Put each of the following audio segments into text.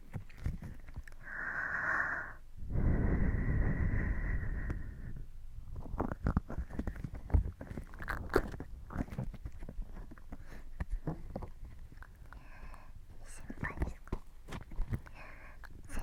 輩ですか先輩元気ですか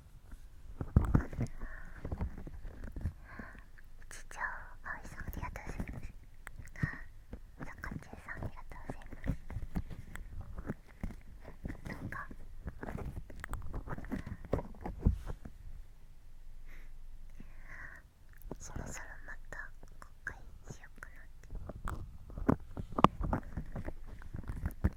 ちちょあおいさんありがとうございますさかちえさんありがとうございますなんかそろそろまた公開しようかなって。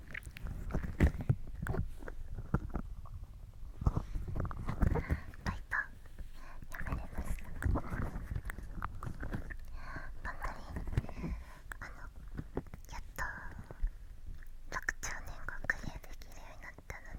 めれましたばっりあのやっと6兆年後クリアできるようになったのに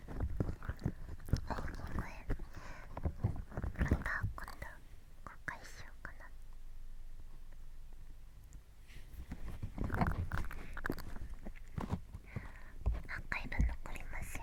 ごめんまた今度公開しようかなアーカイブ残りますよ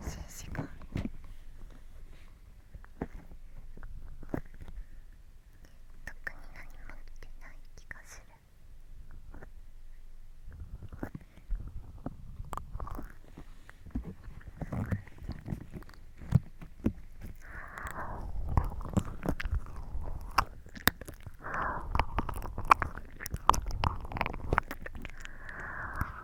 数時間特に何も見てない気がするああ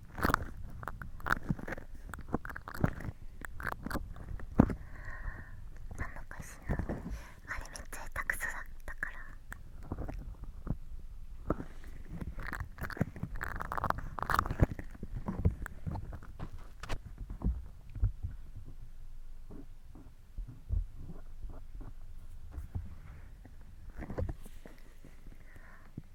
のかしらあれめっちゃ下手くそだったから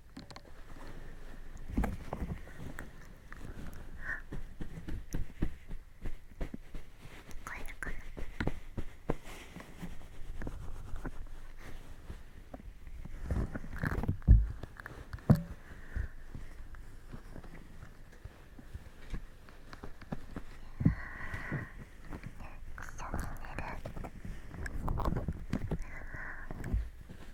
こえるかな一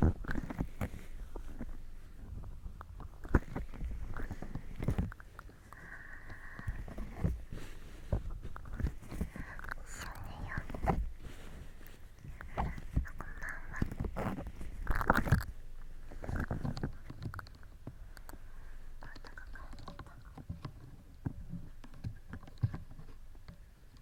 あったかか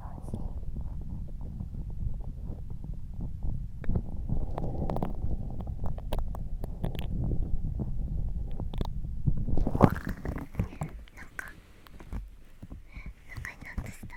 になってしたね。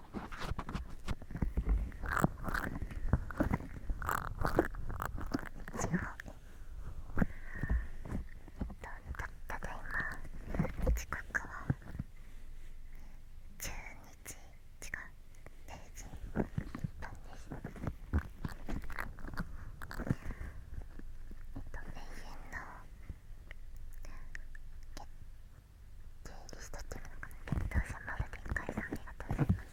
地方にただいま時刻は中日、時違う0時1分ですえっと永遠の月リストっていうかな検討者まで展開さありがとうございます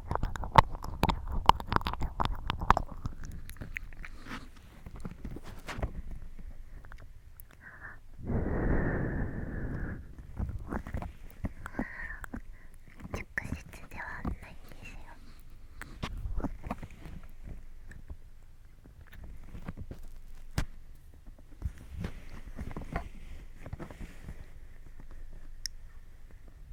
直接ではないんですよ。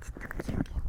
ちょっと休憩中お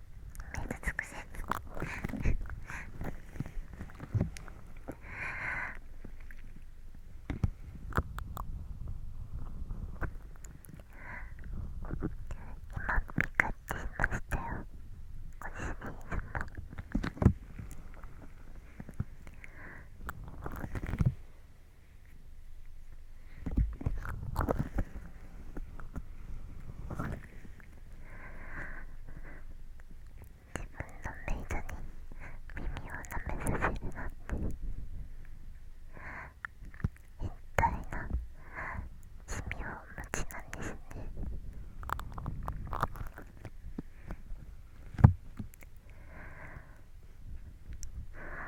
水つくせ今ピカっていましたよご主の。様自分のメイドに耳を舐めさせるなんて変態な趣味をお持ちなんですね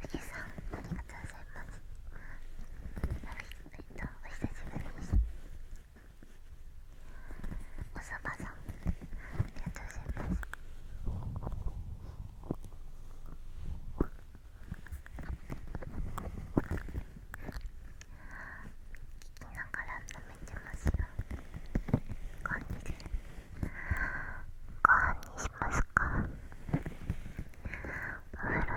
富士山何りがとうございますえっとお久しぶりですおさまさんありがとうございます聞きながら舐めてますよご飯にすにしますか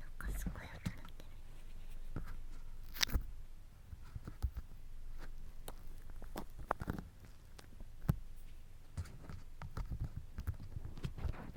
なんかすごい音鳴って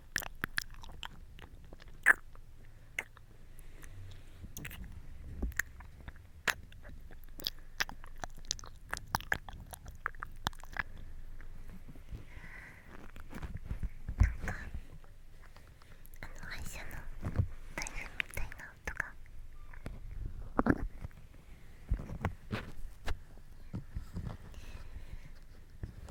の歯医者の大夫みたいな音が。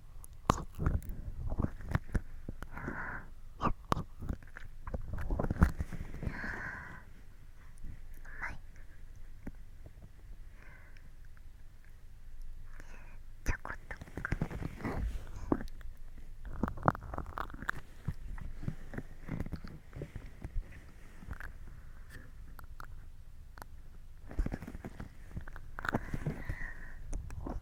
ちょこっと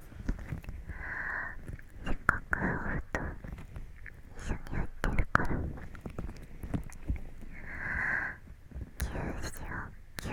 せっかく夫婦と一緒に入ってるから9しよう9 9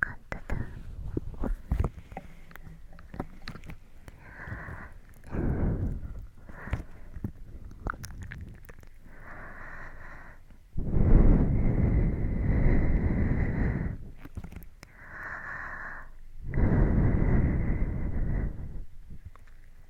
簡単だあ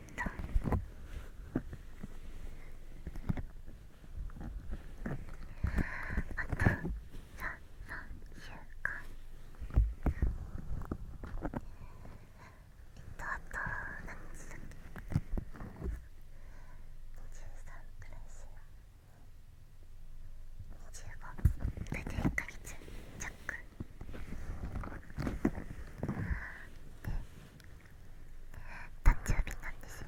ったあと33週間えっとあと何日だっけ23くらいしよう25大体1ヶ月弱誕生日なんですよ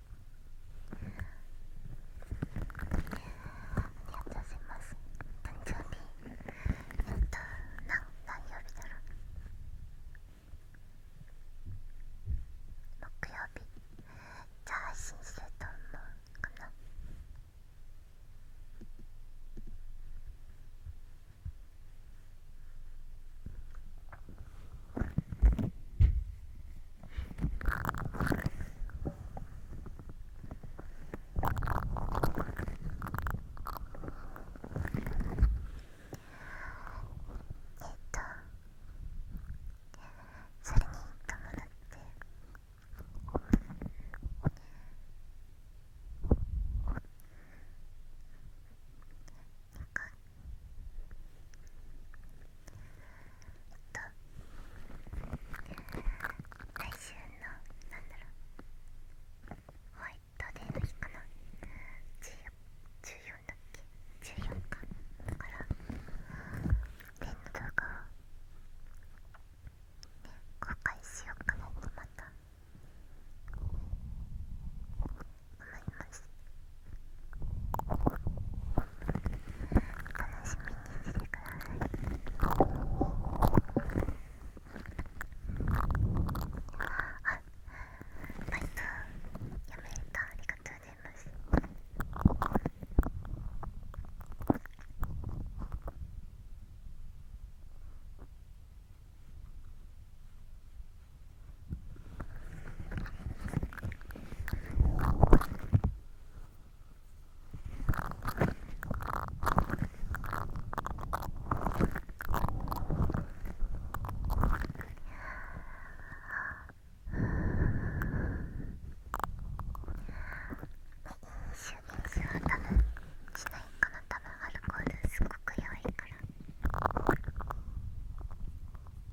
ありがとうごいます誕生日えっと何何曜日だろう木曜日じゃあ配信すると思うかなえっえっとそれに伴って2回えっと来週のなんだろうホワイトデーの日かな14だっけ14かだから天の動画を公開しようかなとまた思います楽しみにしてくださいあマイさんめたありがとうございますあシュビンスは多分しないかな多分アルコールすごく弱いから。えっ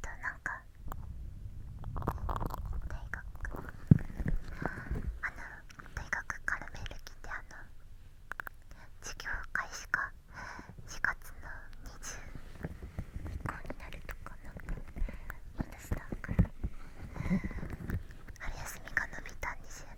となんか大学からメール来てあの授業開始が4月の20以降になるとかなんか私だから春休みが延びたんですよね。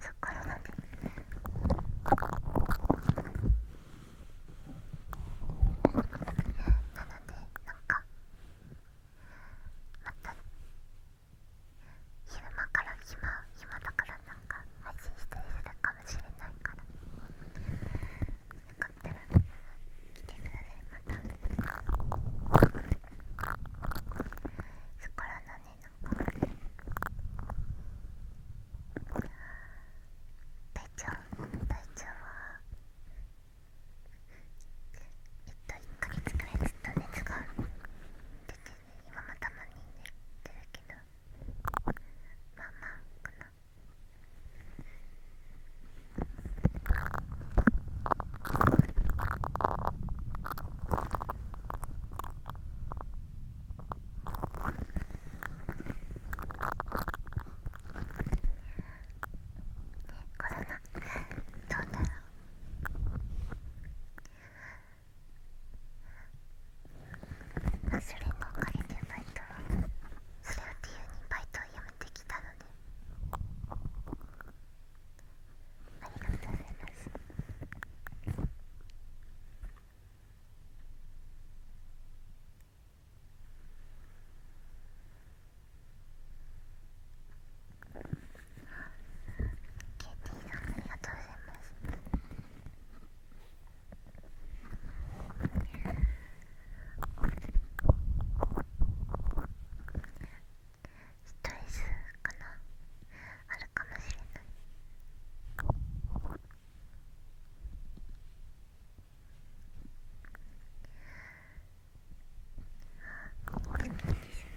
そっからなんで。なのでなんかまた昼間から暇暇だからなんか配信したりするかもしれないからよかったら来てくださいまたそこらのねなんか体調体調はえっと1ヶ月くらいずっと熱が出て今もたまにねってるけどまあまあかなねコロナどうだろうそれのおかげでバイトはそれを理由にバイトをやめてきたのでありがとうございますあケーさん、ありがとうございます。ストレスかなあるかもしれない。ああ、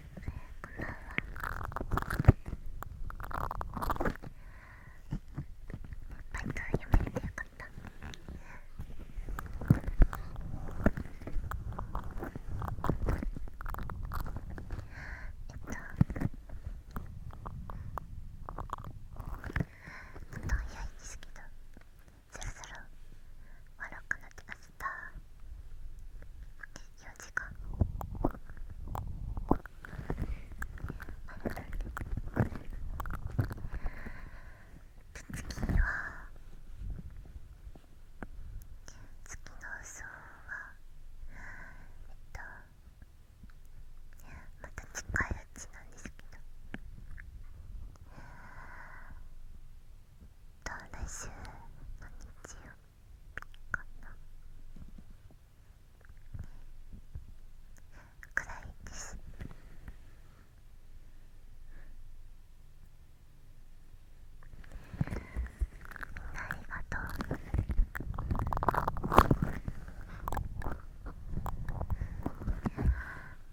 こんんばはバイトやめてよかったえっとちょっと早いんですけどそろそろ終わろうかなって明日時間次は次の層はえっとまた近いうちなんですけどと来週の日曜くらいですみんなありがとう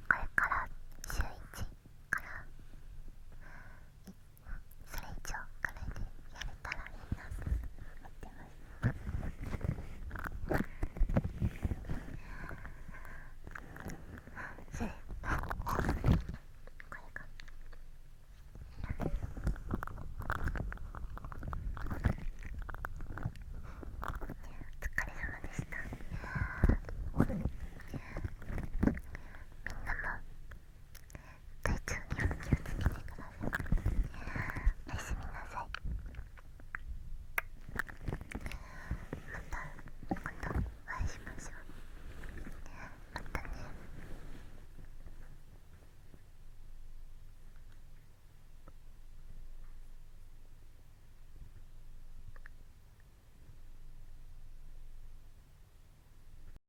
これから週1から1それ以上これでやれたらいいなと思ってますそれこれお疲れ様でしたみんなも体調には気をつけてくださいおやすみなさいまた今度お会いしましょうまたね